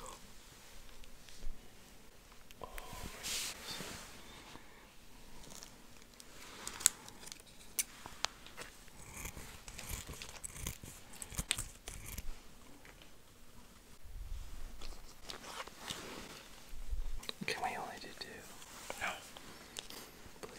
Oh. Oh, Can we only do No. Please.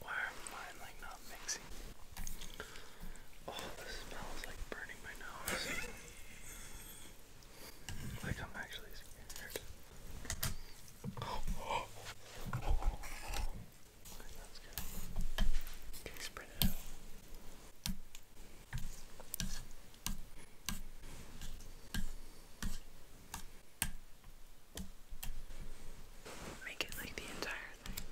Why are mine like not mixing? Oh, this smells like burning my nose. like I'm actually scared. Okay, spread it out. Make it like the entire thing.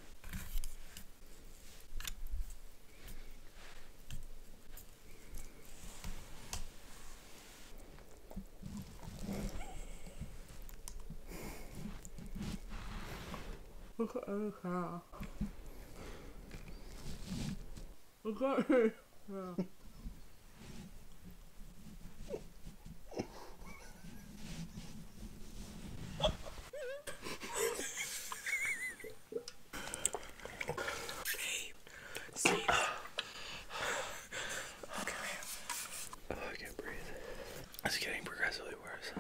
Look at her. Look at her. Well. Babe, Come here. Oh, I can't breathe. It's getting progressively worse.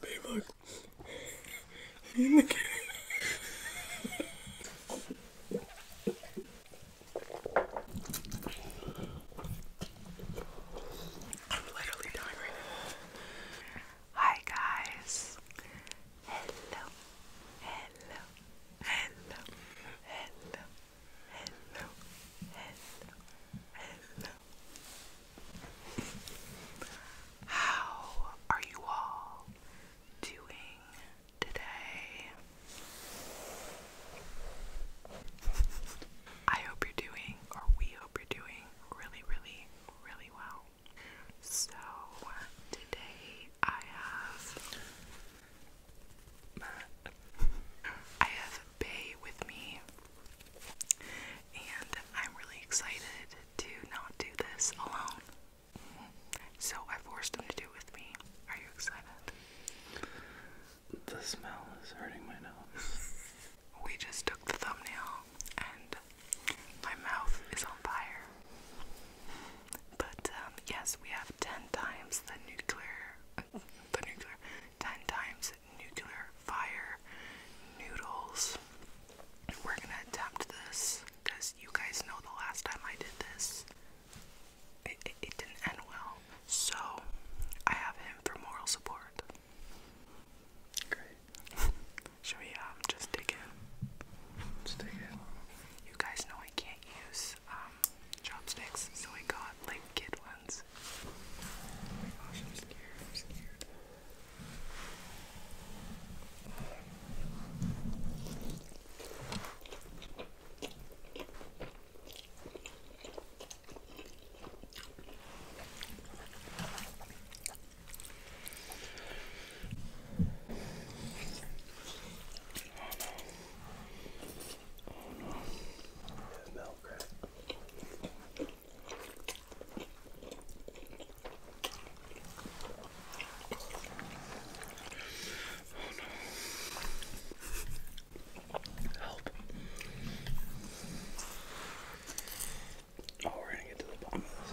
Babe, look. Me the cat. Hi guys. Hello. Hello. Hello. Hello. Hello. Hello. How are you all doing today? I hope you're doing, or we hope you're doing, really, really, really well. So, today I have. I have Bay with me and I'm really excited to not do this alone. So I forced him to do with me. Are you excited? The smell is hurting my nose. we just took the thumbnail and my mouth is on fire. But um, yes, we have ten times the nuclear, the nuclear, ten times nuclear fire noodles. We're gonna attempt this because you guys know the last time I did this, it, didn't end well. So I have him for moral support. Should we um just dig in? Just dig in. You guys know I can't use um, chopsticks, so I got like Oh my gosh, I'm scared. I'm scared. Oh no. Oh no. Milk, no. Help. Oh, we're gonna get to the bottom of this.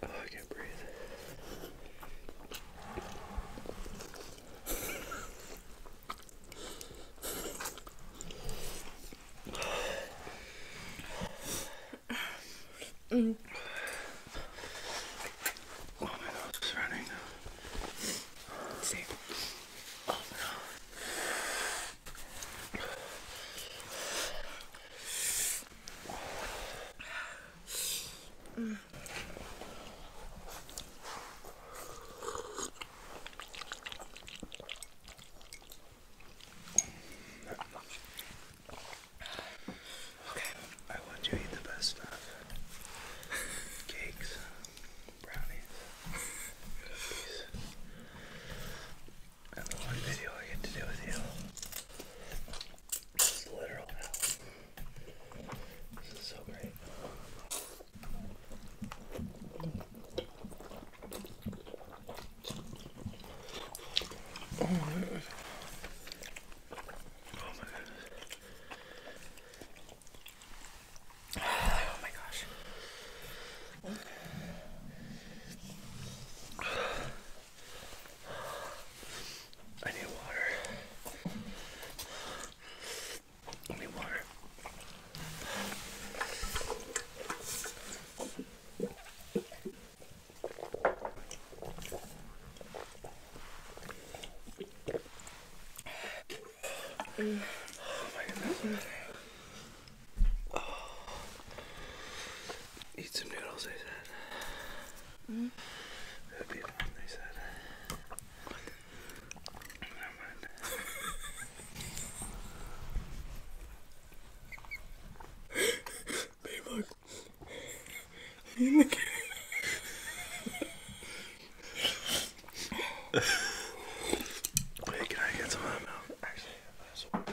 Oh, I can't breathe. Mm. Oh my god, it's running. Same. Oh no. Mm. Okay, I want you to eat the best stuff. Cakes brownies. And the one video I get to do with you. It's literal hell. This is so great. Oh my goodness. Oh my goodness. Oh my gosh. I need water. need water. Oh Eat some noodles, they said. Mm. that they said. Never Wait, can I get some of that milk? Actually, I'm gonna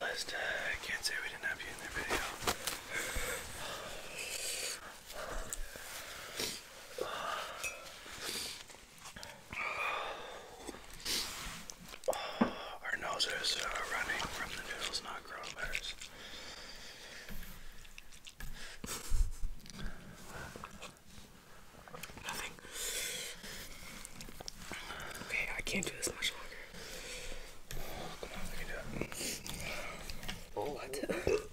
Last, uh, I can't say we didn't have you in the video. Our noses are uh, running from the noodles, not coronavirus. Nothing. Okay, I can't do this much longer. come on, we can do it. Oh, what?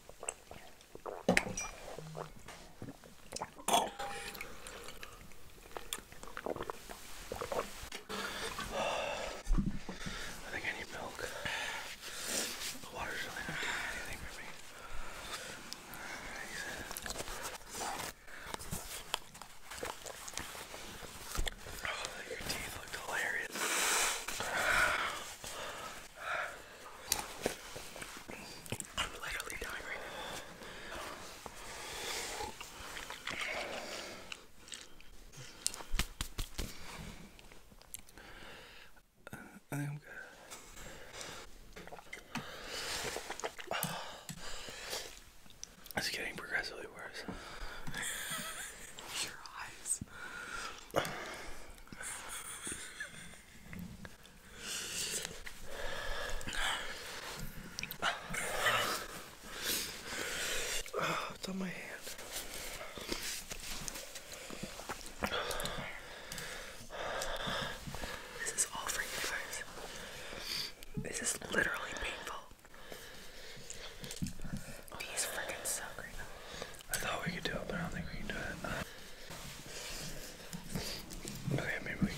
I think I need milk. The water's really not doing anything for me. Oh, your teeth looked hilarious. I'm literally dying right now. Uh, I am It's getting progressively worse. Oh, it's on my hand. This is all for you guys. This is literally painful. These freaking suck I thought we could do it, but I don't think we can do it. okay, maybe we can do it.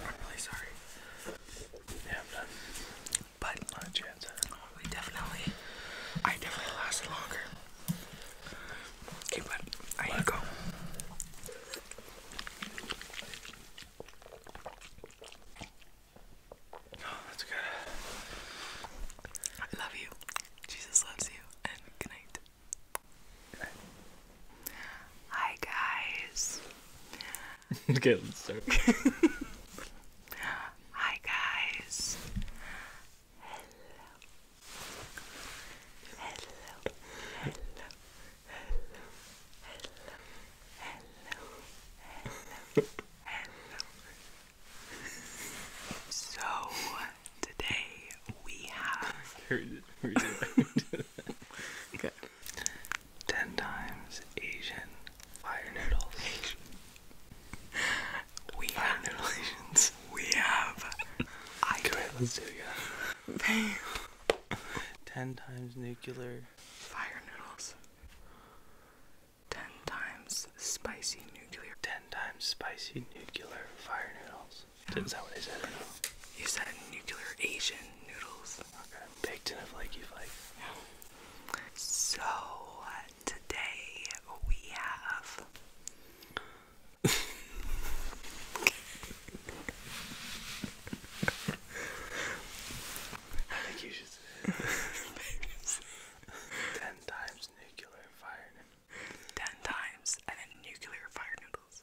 I'm really sorry. Yeah, I'm done. But not a chance. We definitely, I definitely lasted longer. Okay, but I need go. Oh, that's good. I love you. Jesus loves you. And good night. Good night. Hi guys. okay, let's Hi guys. Hello. Hello. Hello. Hello. Hello. Hello. So today we have. Heard it. Heard it. Good. Ten times Asian fire noodles. we fire We have. I do Let's do it again. Ten times nuclear fire noodles. Ten times spicy nuclear. Ten times spicy nuclear fire noodles. Is that what I said? You said nuclear Asian noodles. Okay, baked in a flaky flake. Yeah. So today we have. ten times nuclear fire. Ten times, and then nuclear fire noodles.